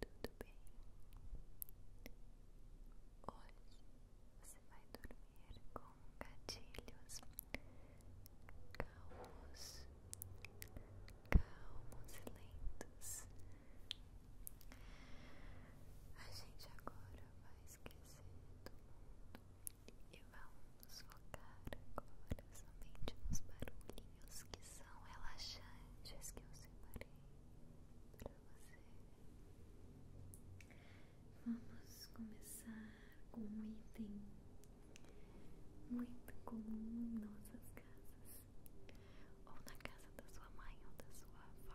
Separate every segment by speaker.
Speaker 1: Tudo bem? Hoje você vai dormir com gatilhos calmos, calmos e lentos. A gente agora vai esquecer do mundo. E vamos focar agora nos barulhinhos que são relaxantes separei para você. Vamos começar com um item muito comum em nossas casas, ou na casa da sua mãe ou da sua avó.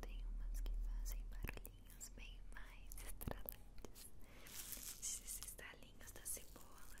Speaker 1: Tem umas que fazem barulhinhos bem mais estralantes. Esses estalinhos da cebola.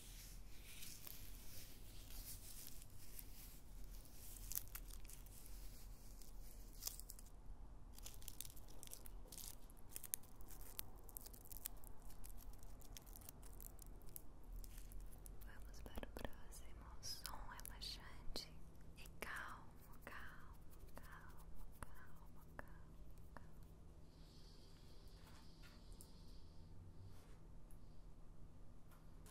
Speaker 1: Vamos para o próximo som relaxante e calmo, calmo, calmo, calmo, calmo, calmo.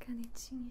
Speaker 1: Canetinha.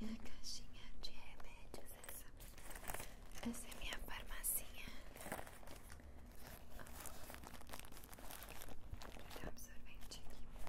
Speaker 1: Minha caixinha de remédios, essa. Essa é minha farmacinha. Vou dar um sorvete aqui.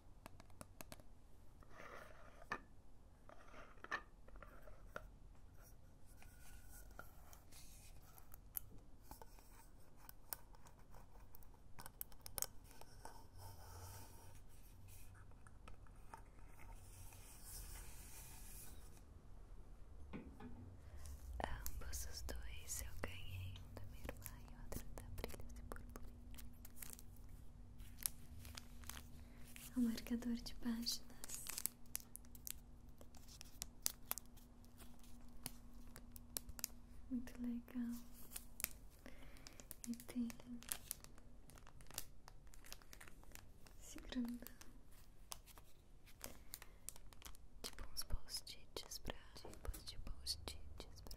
Speaker 1: Ambos os dois eu ganhei, um da minha irmã e outro da Brilhos e Purpurina ao é marcador de páginas. Muito legal. E tem se grudando Tipo uns post-its pra. Tipo pra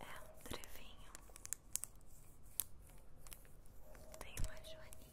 Speaker 1: É um trevinho, tem uma joaninha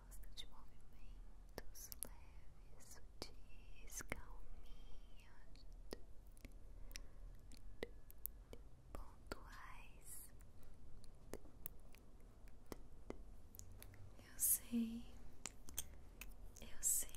Speaker 1: gosta de movimentos leves, sutis, calminhos, pontuais. Eu sei, eu sei.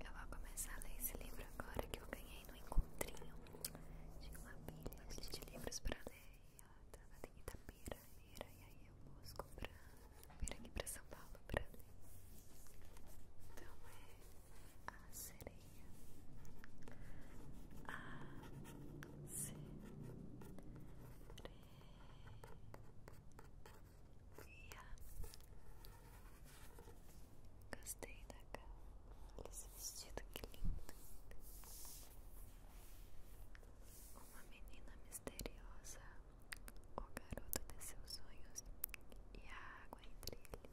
Speaker 1: Eu vou começar a ler esse livro agora que eu ganhei no encontrinho. Tinha uma pilha de livros pra ler. Tava em Itapira e aí eu busco pra vir aqui pra São Paulo pra ler. Então é a sereia. A sereia. Gostei da cama. Olha esse vestido, que lindo. Uma menina misteriosa o garoto de seus sonhos e a água entre eles.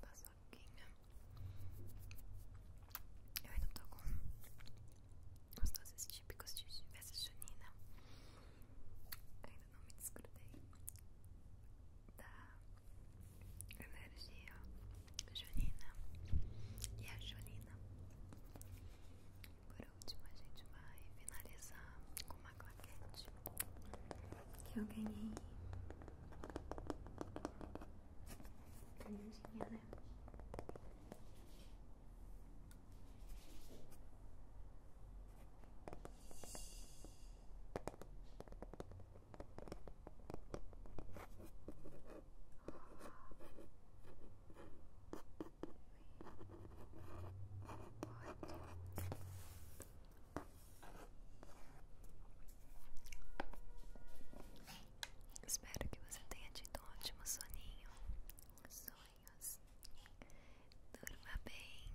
Speaker 1: Da soquinha. Eu ainda tô com os doces típicos de festa junina. Ainda não me desgrudei da energia junina e a julina. Por último, a gente vai finalizar com uma claquete que eu ganhei. Canudinha, né? Espero que você tenha tido um ótimo soninho. Sonhos. Durma bem.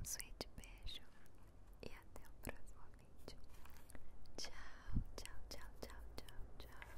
Speaker 1: Um suíte beijo. E até o próximo vídeo. Tchau, tchau, tchau, tchau, tchau, tchau.